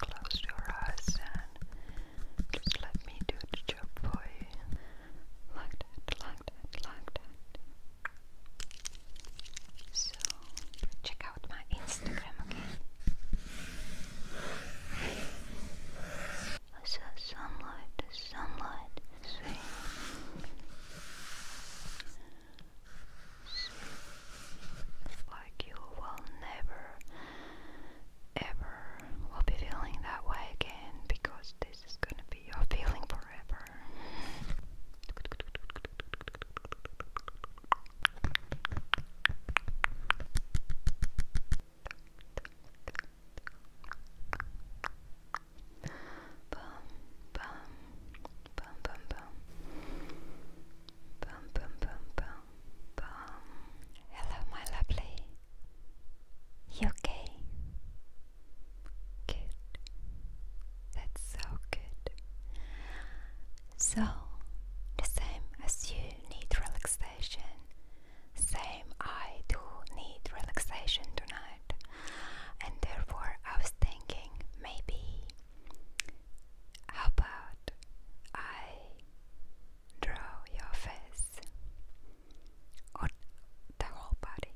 Close your eyes and just let me do the job for you. Like that, like that, like that. So, check out my Instagram again. I saw sunlight, sunlight, sweet. Like you will never ever will be feeling that way again because this is gonna be your feeling forever. Bum bum bum. Bum bum bum bum bum. Hello, my lovely. You okay? Good. That's so good. So, the same as you need relaxation, same I do need relaxation tonight, and therefore I was thinking maybe how about I draw your face or the whole body?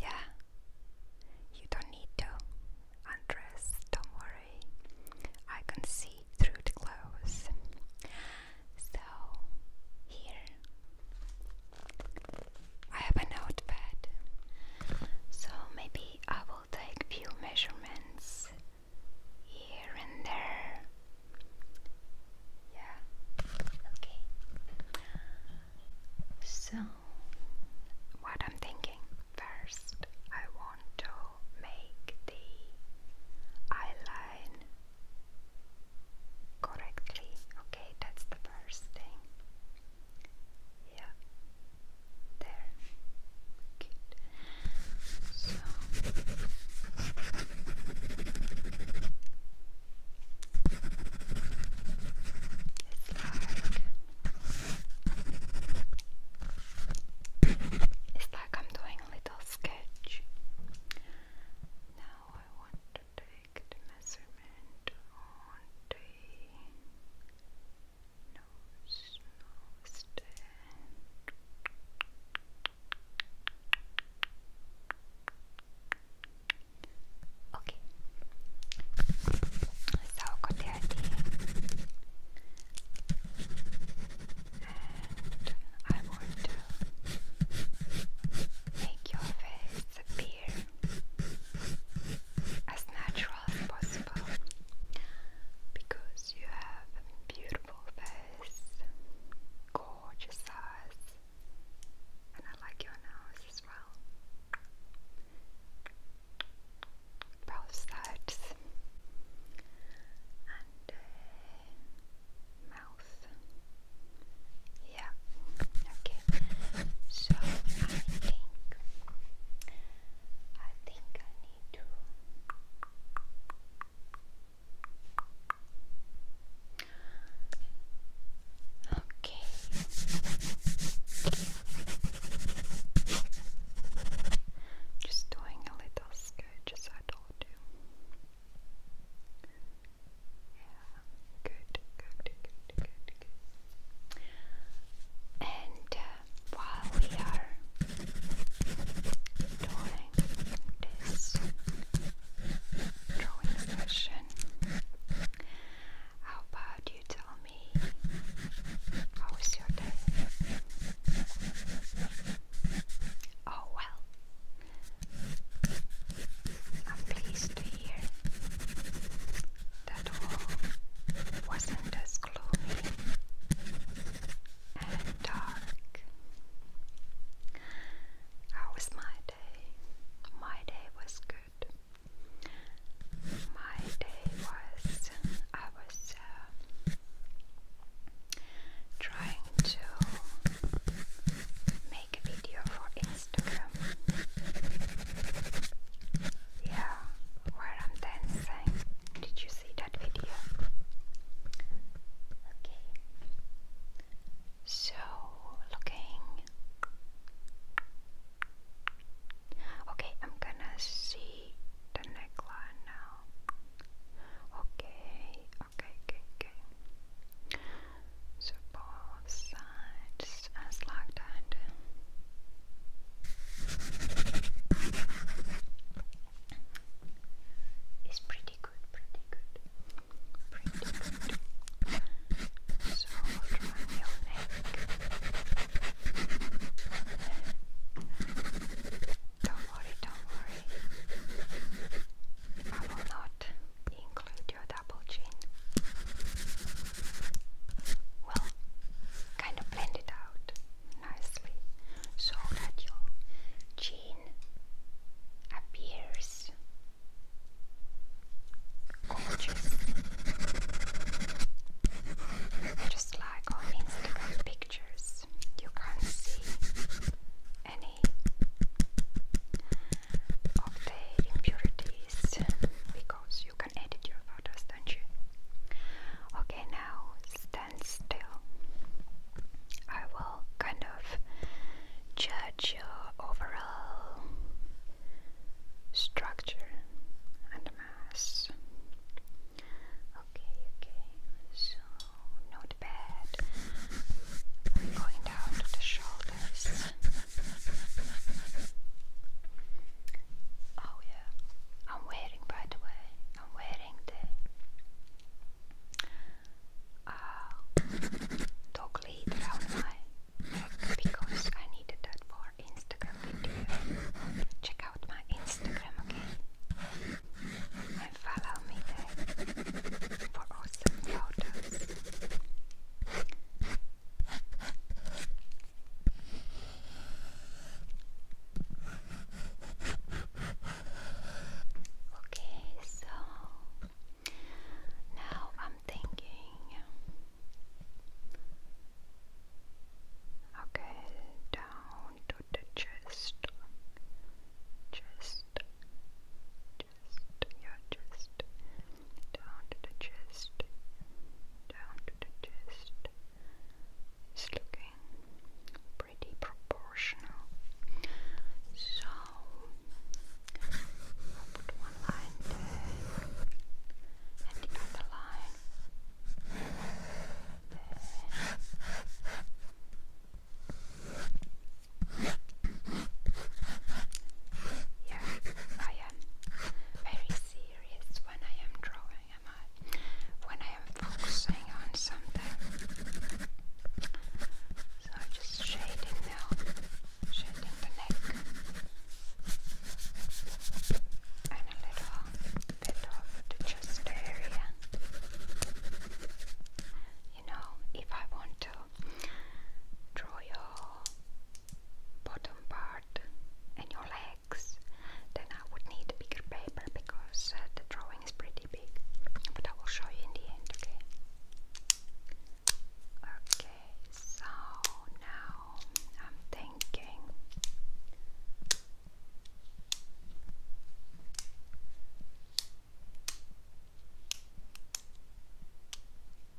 Yeah, you don't need to undress, don't worry. I can see through the clothes. So, here I have a notepad, so maybe I will take few measurements here and there. Yeah. Okay. So, what I'm thinking first, I want to make the eyeline correctly. Okay, that's the first thing. Yeah. There. Good. So it's like it's like I'm doing a little sketch. Now I want to do perfect measurement on got the idea, and I want to make your face appear as natural as possible because you have a beautiful face, gorgeous eyes, and I like your nose as well. Both sides and uh, mouth. Yeah, okay. So I think I think I need to Okay. Just doing a little sketch I told you. Yeah, good, good, good, good, good. And uh, while we are doing this drawing session, how about you tell me how was your day? Oh well, I'm pleased to hear that all wasn't as gloomy and dark. How was my day? My day was good. My day was, I was uh, trying to make video for Instagram. Yeah, where I'm dancing. Did you see that video? Okay. So, looking. Okay, I'm gonna see the neckline now. Okay, okay, okay, okay so both sides as like It's pretty good, pretty good, pretty good. So try your neck. Don't worry, don't worry. I will not include your double chin. Well, kind of blend it out nicely so that your chin appears gorgeous. Just like on Instagram pictures, you can see any of the impurities because you can edit your photos, don't you? Okay, now stand still. I will kind of judge your overall structure and mass. Okay, okay, notepad. We're going down to the shoulders. Oh yeah, I'm wearing by the way, I'm wearing the uh, dog lead around my neck because I needed that for Instagram video. Check out my Instagram, follow me there for awesome photos. Okay, so now I'm thinking. Okay, down to the chest. Just, chest, your chest, down to the chest, down to the chest. It's looking pretty proportional. So, put one line there, and the line there. Yeah, I am very serious when I am drawing, am I? When I am focusing on something. So I'm just shading now, shading the neck. And a little bit of the chest area you know, if I want to draw your bottom part and your legs, then I would need a bigger paper because uh, the drawing is pretty big. But I will show you in the end, okay? Okay, so now I'm thinking.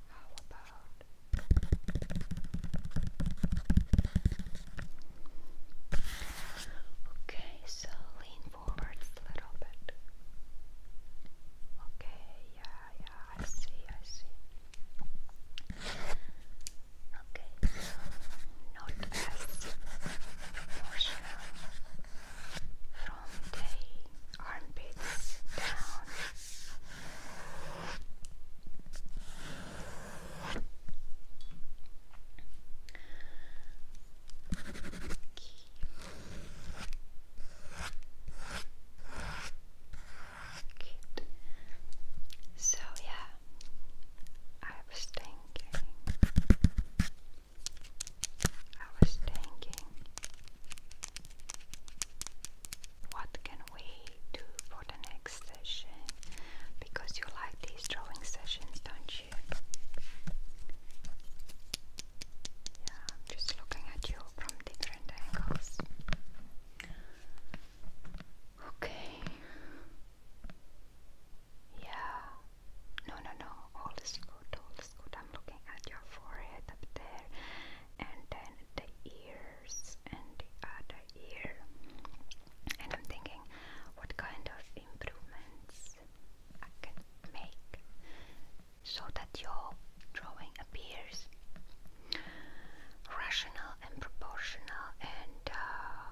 How about? Okay, so lean forwards a little bit. Okay, yeah, yeah, I see, I see. Okay, not as from the armpits down. Good. So yeah, I was thinking I was thinking, what can we do for the next session? Because you like these drawing sessions, don't you? Yeah, I'm just looking at you from different angles. Okay. Yeah. No, no, no. All is good. All is good. I'm looking at your forehead up there, and then the ears and the other ear. And I'm thinking, what kind of improvements I can make so that your drawing appears rational and proportional and uh,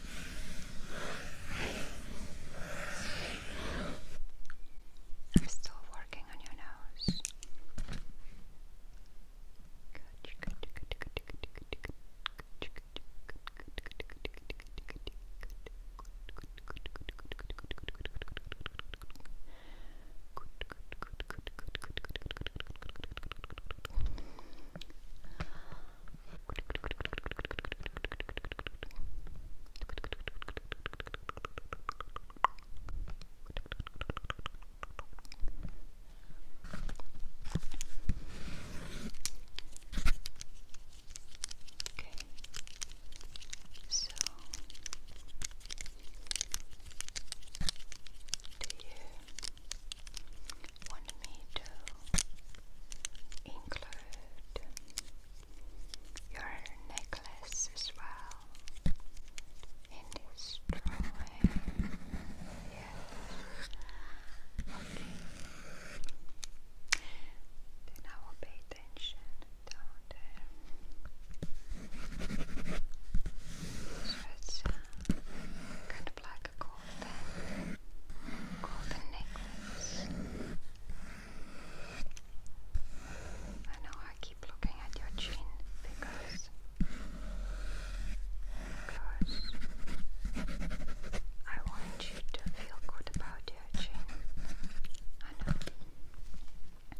I'm still working on your nose. Okay. So do you want me to include your necklace as well in this drawing. Yes. Okay. Then I will pay attention down there. So uh, kind of like like a golden, golden necklace. I know I keep looking at your chin because, because I want you to feel good about your chin. I know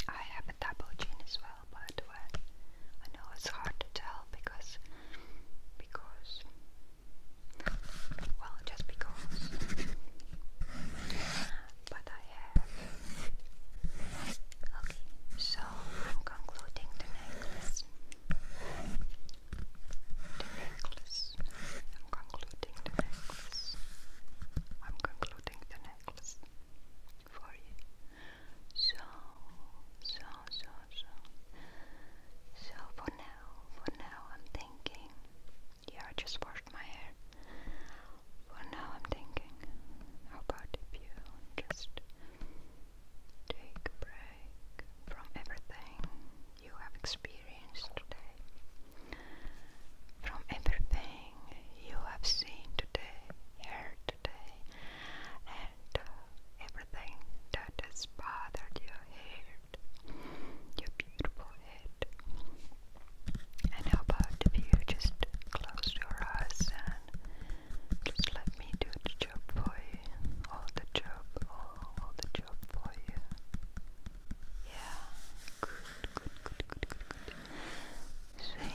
I have a double chin as well, but I know it's hard to tell because because well just because but I have okay so I'm concluding the necklace the necklace I'm concluding the necklace I'm concluding the necklace for you so, so, so, so. So for now, for now, I'm thinking. Yeah, I just washed my hair. For now, I'm thinking. How about if you just take a break from everything you have experienced today? From everything you have seen today, heard today and uh, everything that has bothered your head, your beautiful head. And how about if you just close your eyes and just let me do the job for you, all the job, all, the job for you. Yeah, good, good, good, good, good. See?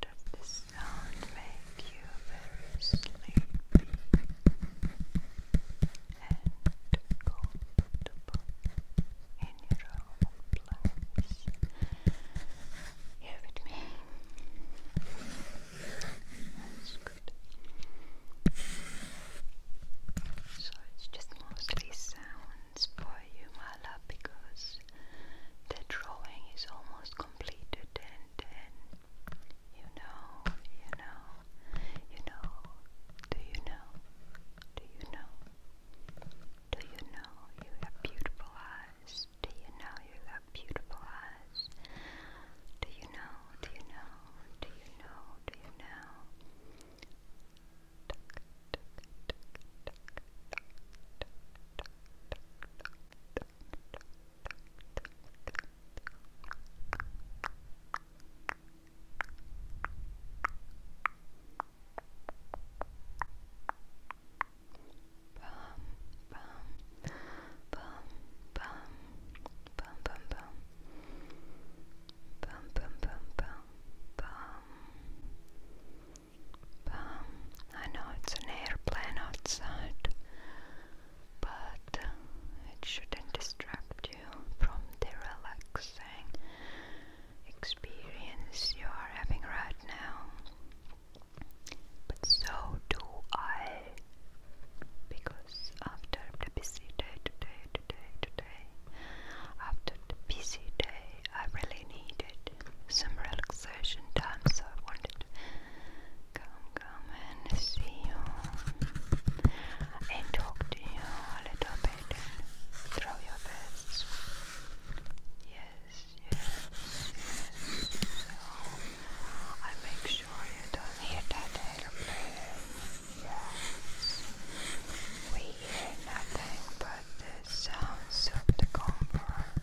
Does the sound make you very sleepy and comfortable in your own place? Here with me. That's good. So it's just mostly sounds for you, Mala, because the drawing is almost completed and then you know, you know, you know, do you know, do you know, do you know you have beautiful eyes, do you know you have beautiful eyes, do you know, do you know, do you know, do you know, bum um, I know it's an airplane outside, but uh, it shouldn't distract you from the relaxing experience you are having right now. But so do I, because after the busy day today, today, today, after the busy day I really needed some relaxation time, so I wanted to come, come and see you and talk to you a little bit and your best. Yes, yes, yes. So I make sure you don't hear that airplane. we hear nothing but the sounds of the comfort.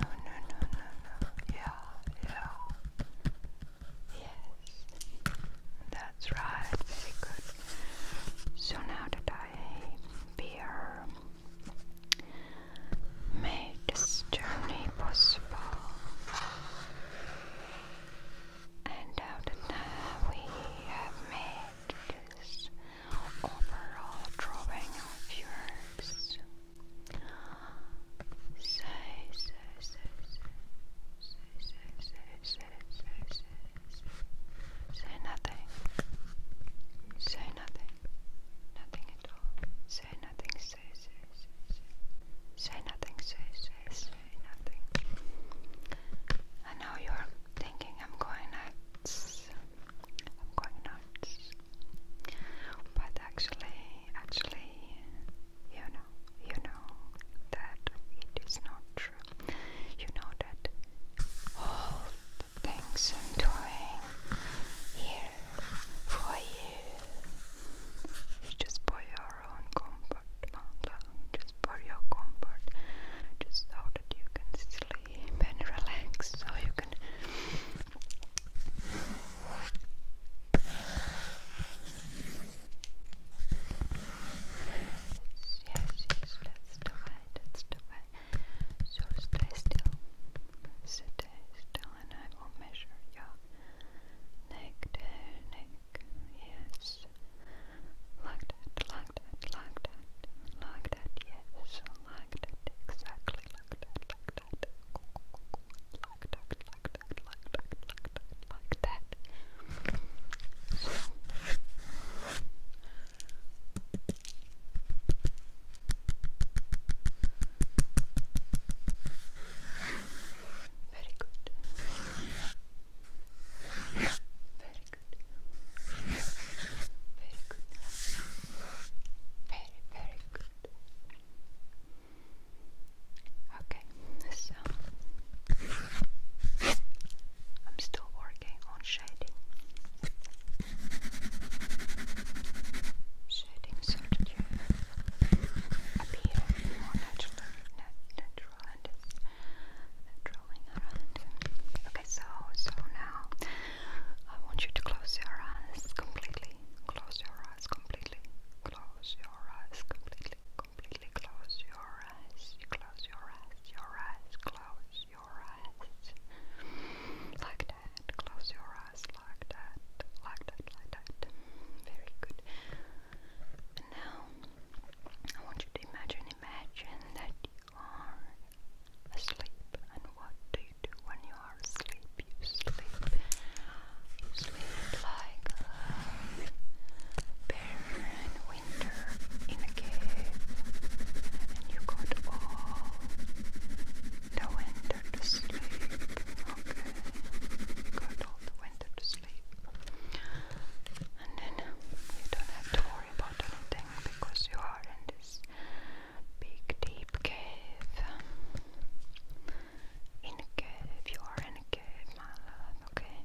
No, no, no, no, no. Yeah, yeah. Yes. That's right. Very good. So now that I beer made this journey possible. And now that we have made to this overall drawing of yours. Say, say, say, say, say, say, say, say, say, say, say nothing. Say nothing. Nothing at all. Say nothing. Say, say, say, say. Say nothing. Say, say, say nothing. I know you're thinking I'm going nuts. I'm going nuts. But actually, actually, you know, you know that it is not true. You know that all things I'm doing here for you is just for your own comfort, my is for your comfort, just so that you can sleep and relax, so you can. Yes, yes, that's the way, that's the way. So stay still, stay still, and I will measure your neck, there, neck, yes. Like that, like that, like that, like that, yes, like that, exactly like that, like that, like that, like that, like that, like that, Very good. Very good. Very good. Very, very good. Okay, so I'm still working on shading. Shading so that you appear more natural, natural Okay, so so now I want you to close your eyes completely. Close your eyes completely. Close your eyes completely. Completely close your eyes. Close your eyes. Your eyes. Close your eyes. Like that. Close your eyes like that. Like that. Like that. Very good now, I want you to imagine, imagine that you are asleep. And what do you do when you are asleep? You sleep. You sleep like a bear in winter in a cave. And you got all the winter to sleep. Okay. got all the winter to sleep. And then you don't have to worry about anything because you are in this big deep cave. In a cave, you are in a cave, my love, okay?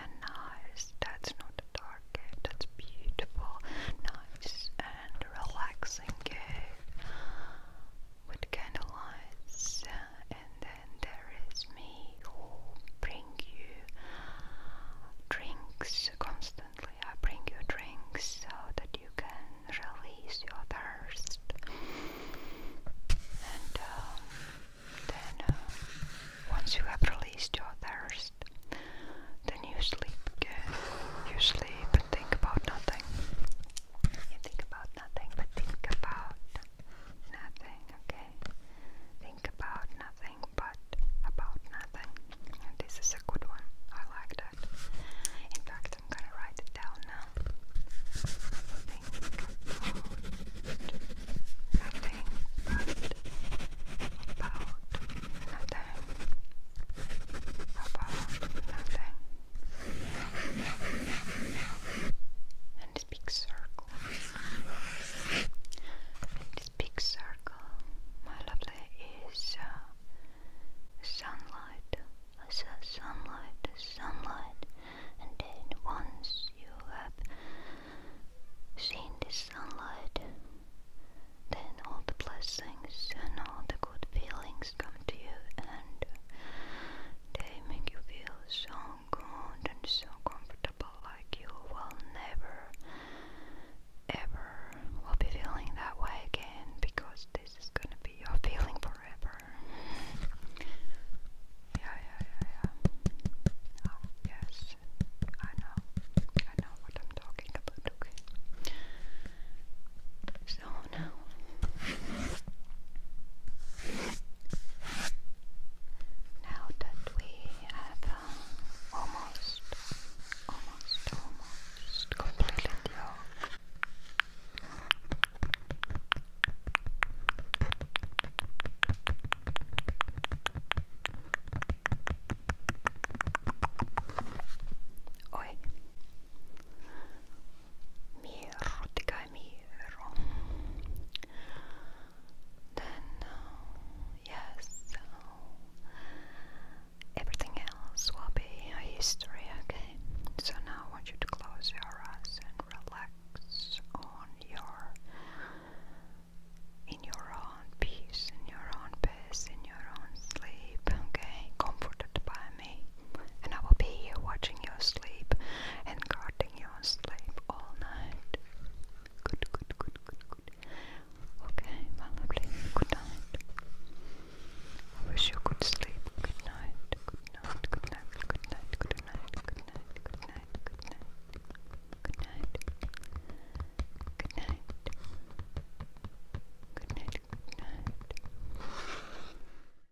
And nice, that's not a dark cave, that's beautiful, nice and relaxing cave with candle lights and then there is me who bring you drinks constantly. I bring you drinks so that you can release your thirst. And um, then, uh, once you have released your thirst, then you sleep again. You sleep and think about nothing. You think about nothing, but think about nothing, okay? okay? Think about nothing but about nothing. this is a good one. I like that. In fact, I'm gonna write it down now. Think nothing but about nothing. About nothing. And big circle. This big circle, my lovely, is uh, sunlight. I said sunlight, sunlight, and then once you have seen this sunlight, then all the blessings and all the good feelings come to you, and they make you feel so good and so comfortable, like you will never ever will be feeling that way again because this is gonna be your feeling forever. yeah, yeah, yeah, yeah. Oh, yes, I know, I know what I'm talking about. Okay, so now. Now that we have uh, almost, almost, almost completed your Oi. Mirror, Tika Mirror. Then, uh, yes, everything else will be a history, okay? So now I want you to close your eyes and relax on your. In your own peace, in your own peace, in your own sleep, okay? Comforted by me and I will be here watching you sleep and guarding your sleep all night. Good, good, good, good, good. Okay, lovely, good night. wish you could Good night, good night, good night, good night, good night, good night, good night, good night, good night, good night. Good night.